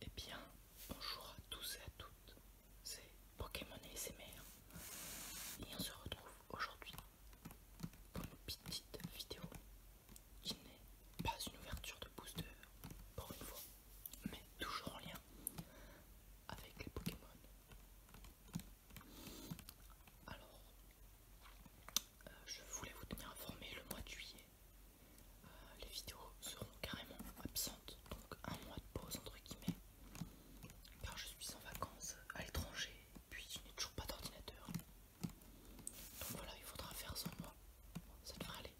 Eh bien, bonjour à tous et à toutes, c'est Pokémon ASMR et on se retrouve aujourd'hui pour une petite vidéo qui n'est pas une ouverture de booster pour une fois, mais toujours en lien avec les Pokémon. Alors, euh, je voulais vous tenir informé le mois de juillet euh, les vidéos seront carrément absentes, donc un mois de pause entre guillemets, car je suis en vacances à l'étranger, puis je n'ai toujours pas d'ordinateur. Donc voilà, il faudra faire sans moi, ça devrait aller.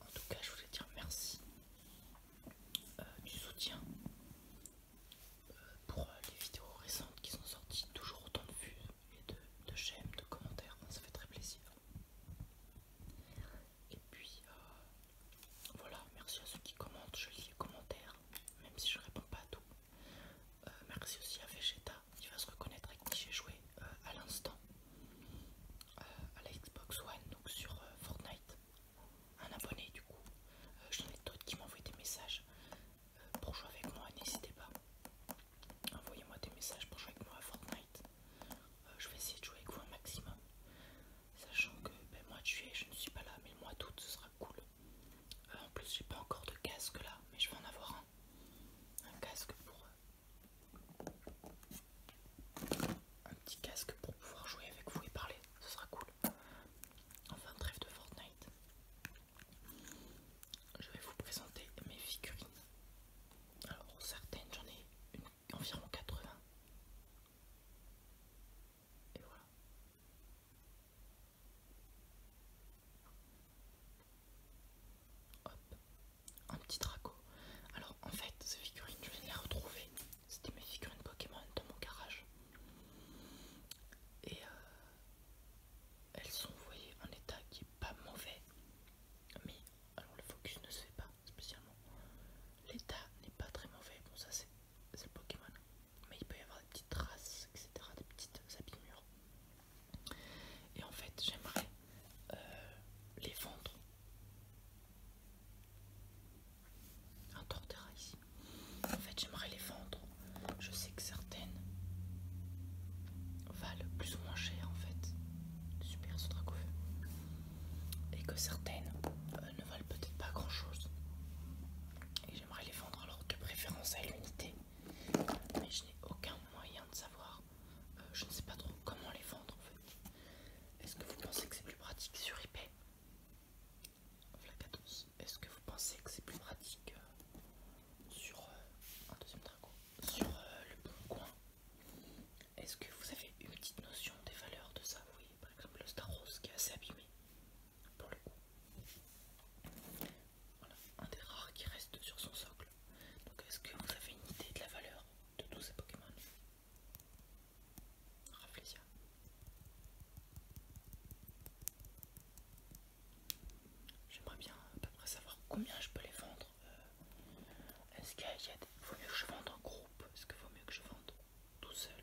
En tout cas, je voulais dire merci euh, du soutien euh, pour les vidéos récentes qui sont sorties, toujours autant de vues et de, j'aime, de commentaires, ça fait très plaisir. Et puis euh, voilà, merci à ceux qui commentent, je lis les commentaires, même si je réponds pas à tout. Euh, merci aussi à Vegeta, qui va se reconnaître avec qui j'ai joué euh, à l'instant à la Xbox One, donc sur Fortnite. Un abonné du coup. J'en ai d'autres qui m'envoient des messages pour jouer avec moi, n'hésitez pas. Envoyez-moi des messages pour jouer avec moi à Fortnite. Euh, je vais essayer de jouer avec vous un maximum. Sachant que ben, moi tu es, je ne suis pas là, mais le mois d'août, ce sera cool. Euh, en plus, j'ai pas encore de casque là, mais je vais en avoir un. Un casque pour... Euh, un petit casque pour pouvoir jouer avec vous et parler, ce sera cool. Enfin, trêve de Fortnite. Je vais vous présenter mes figurines. Alors certaines j'en ai une, environ 80. Et voilà. Hop, un petit draco. Alors en fait ces figurines je de les retrouver. C'était mes figurines Pokémon dans mon garage et euh, elles sont voyées en état qui est pas mauvais mais alors le focus ne se fait pas spécialement l'état n'est pas très mauvais bon ça c'est le Pokémon mais il peut y avoir des petites traces etc des petites abîmures et en fait j'aimerais euh, les vendre un tortera ici. En fait, j'aimerais les vendre. Je sais que certaines valent plus ou moins cher en fait. Super ce Et que certaines euh, ne valent peut-être pas grand chose. Et j'aimerais les vendre alors de préférence à l'unité. Mais je n'ai aucun moyen de savoir. Euh, je ne sais pas trop comment les vendre en fait. Est-ce que vous pensez que c'est plus pratique sur eBay Fla14, est-ce que vous pensez que c'est plus pratique euh, sur euh, un deuxième sur euh, le bon coin Est-ce que vous avez une petite notion des valeurs de ça Oui, par exemple le Star Rose qui est assez abîmé pour le coup. Voilà, un des rares qui reste sur son socle. Donc est-ce que vous avez une idée de la valeur de tous ces Pokémon J'aimerais bien à peu près savoir combien je peux les vendre. Euh, est-ce qu'il vaut mieux que je vende en groupe Est-ce qu'il vaut mieux que je vende tout seul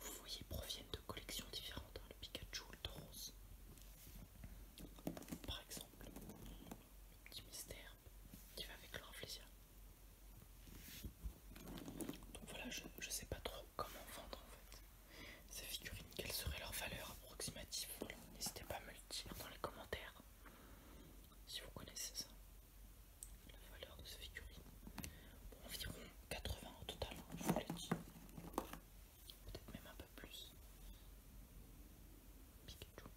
Vous voyez, ils proviennent de collections différentes. Hein, le Pikachu, le Tauros, par exemple. petit mystère qui va avec le Donc voilà, je ne sais pas trop comment vendre en fait ces figurines, quelle serait leur valeur approximative. n'hésitez pas à me le dire dans les commentaires si vous connaissez ça. La valeur de ces figurines. environ 80 au total, hein, je vous l'ai dit. Peut-être même un peu plus. Pikachu.